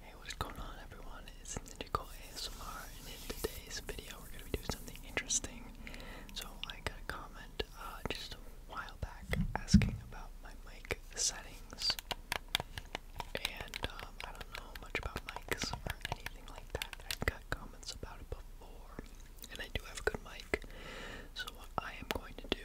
Hey, what is going on everyone? It's Ninjago ASMR and in today's video we're going to be doing something interesting. So I got a comment uh, just a while back asking about my mic settings. And um, I don't know much about mics or anything like that. I've got comments about it before and I do have a good mic. So what I am going to do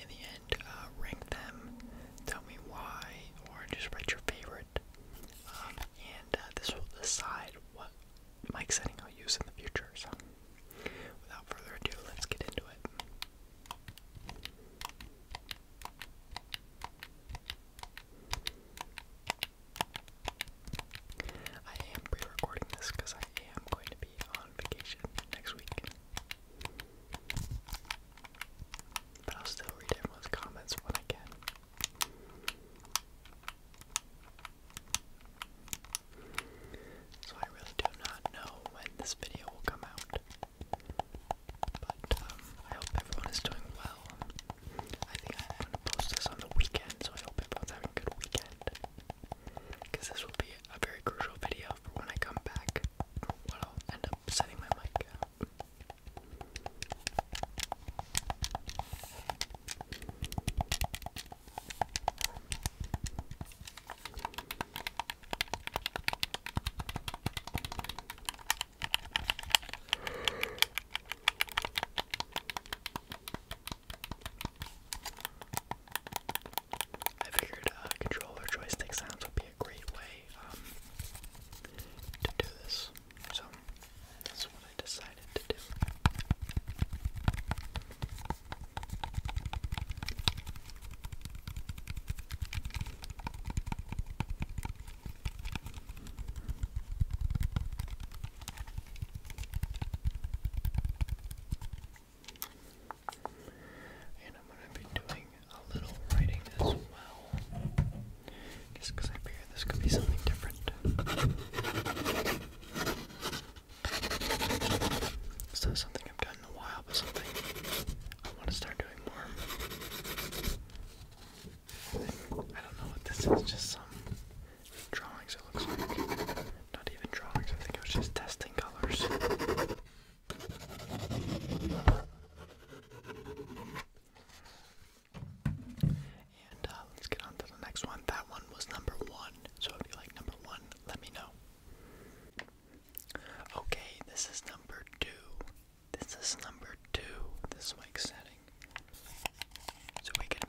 in the end, uh, rank them, tell me why, or just write your favorite, um, and uh, this will decide what mic setting I'll use in the future. So, without further ado, let's get into it. I am pre recording this because I am going to be on vacation next week. But I'll still read everyone's comments when I can. So I really do not know when this video will come out. But um, I hope everyone is doing well. I think I'm going to post this on the weekend, so I hope everyone's having a good weekend because this will be a very crucial video for when I come back, or I'll end up setting my mic I figured uh, controller joystick sounds would be a great way um, to do this, so that's what I decided to do. And I'm going to be doing a little writing as well. Just because I figure this could be something different. It's not something I've done in a while, but something I want to start doing more. I don't know what this is, just some drawings, it looks like. Not even drawings, I think it was just testing colors. And uh, let's get on to the next one. That one was number one. So if you like number one, let me know. Okay, this is number two. This is number two, this mic setting. So we can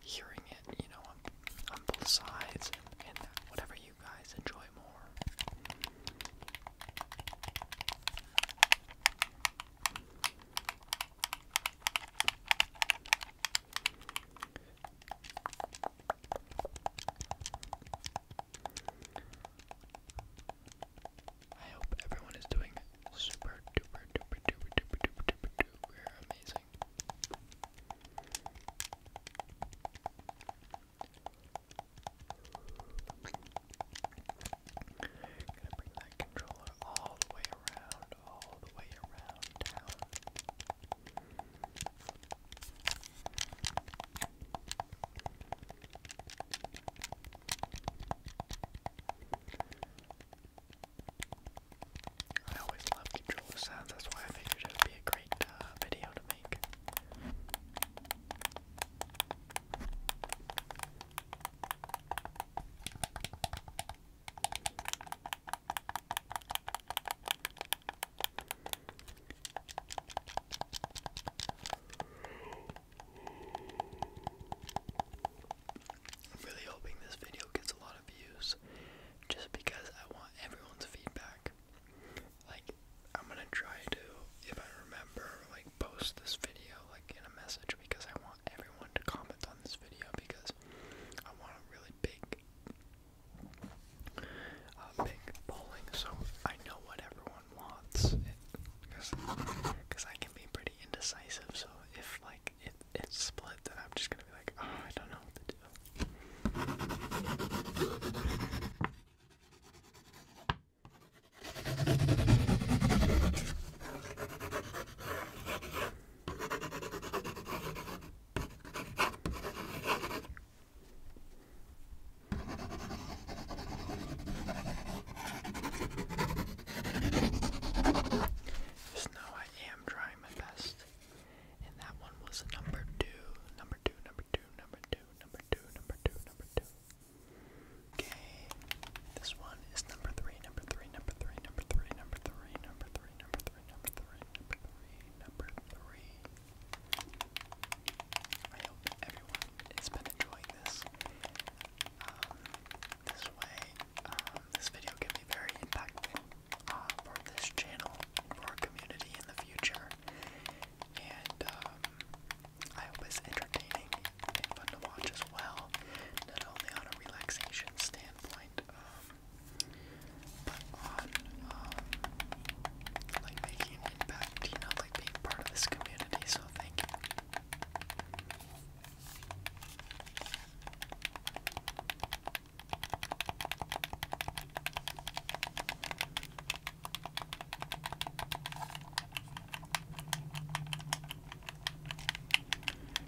hearing it, you know, on, both sides and, whatever you guys enjoy more. I hope everyone is doing super duper duper duper duper duper duper YouTube. are amazing. Gonna bring that controller all the way around, all the way around town. I always love controller sounds, that's why I figured it would be a great uh, video to make. I'm really hoping this video gets a lot of views just because I want everyone's feedback. Like, I'm gonna try to, if I remember, like post this video like in a message because I want everyone to comment on this video because I want a really big, uh, big polling so I know what everyone wants. Because I can be pretty indecisive, so if like like it, it's split, then I'm just gonna be like, oh, I don't know what to do. Just know I am trying my best. And that one was number two. Number two, number two, number two, number two, number two, number two. Okay. This one is number three, number three, number three, number three, number three, number three, number three, number three, number three, number three. I hope everyone has been enjoying this. Um, this way, um, this video can be very impactful uh, for this channel, for our community in the future, and um, I hope it's entertaining and fun to watch as well, not only on a relaxation standpoint, um, but on um, like making an impact, you know, like being part of this community. So thank you.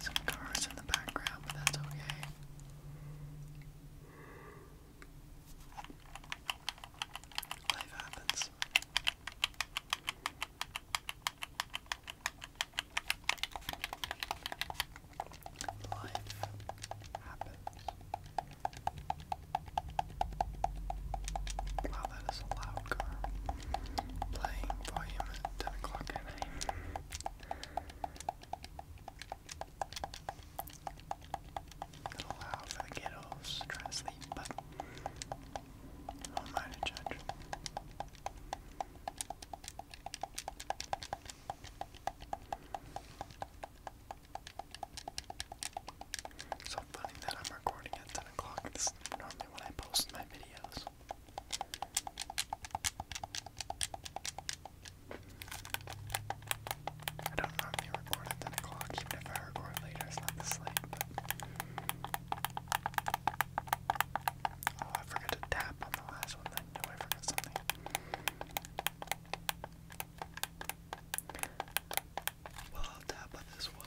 Some cars in the background, but that's okay. Life happens. Life happens. Wow, that is loud Playing volume 10 o'clock at night. A little loud for the kiddos to to sleep, but who am I to judge? So funny that I'm recording at 10 o'clock. This is normally when I post my videos. I don't normally record at 10 o'clock, even if I record later, it's not this late, Oh, I forgot to tap on the last one. I know I forgot something. Well, I'll tap on this one.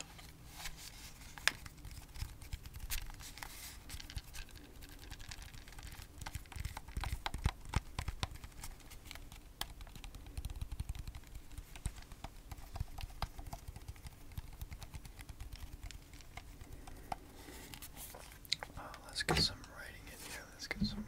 Oh, let's get some writing in here. Let's get some writing.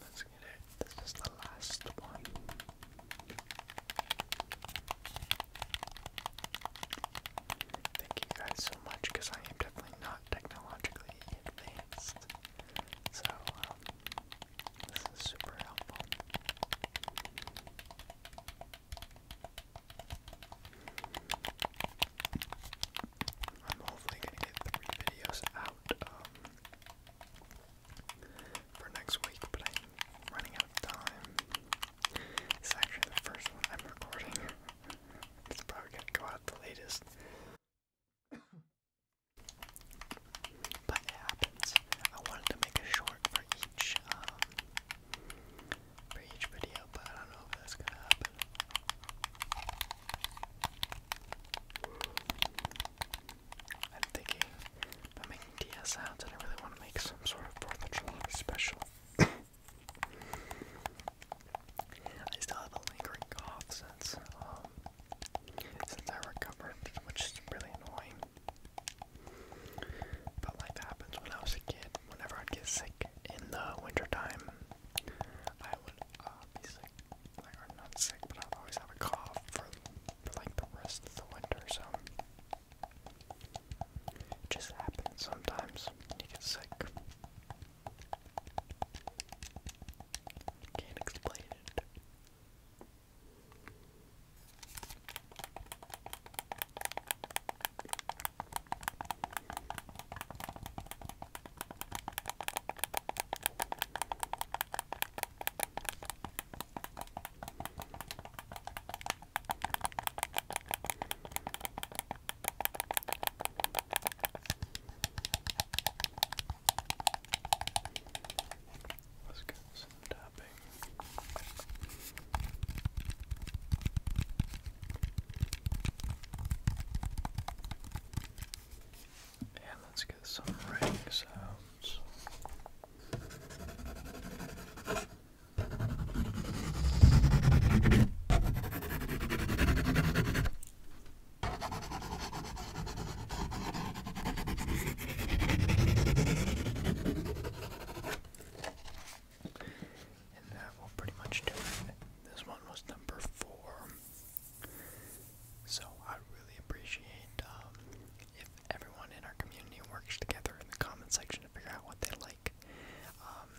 Let's get it. This is the last one. Thank you guys so much because I am definitely not technologically advanced. So, um, this is super helpful. I'm hopefully gonna get three videos out um, for next week, but I'm running out of time. It's actually the first one I'm recording. it's probably gonna go out the latest. But it happens. I wanted to make a short for each um, for each video, but I don't know if that's gonna happen. I'm thinking about making DS and I really want to make some sort of 4th of July special. I still have lingering cough since, um, since I recovered, which is really annoying. But life happens when I was a kid. Whenever I'd get sick, in the wintertime. I would uh, be sick, like, or not sick, but i always have a cough for like the rest of the winter, so it just happens sometimes. You get sick. Can't explain it. Let's get some tapping. And let's get some ring sounds. And that will pretty much do it. This one was number four. So I really appreciate um, if everyone in our community works together in the comment section to figure out what they like. Um,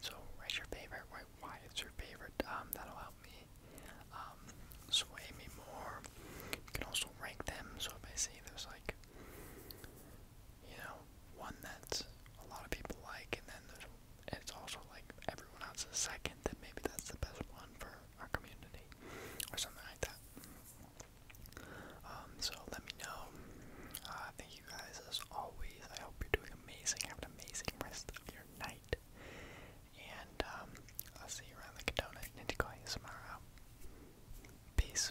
so what's your favorite? Why, why is your favorite? Um, that'll help me um, sway me more. You can also rank them. So if I see there's like you know, one that a lot of people like, and then there's, it's also like everyone else is second, then maybe that's the best one for our community, or something like that. Um, so let me know. Uh, thank you guys as always. I hope you're doing amazing. Have an amazing rest of your night. And um, I'll see you around the Kadona Ninja Koi tomorrow. Peace.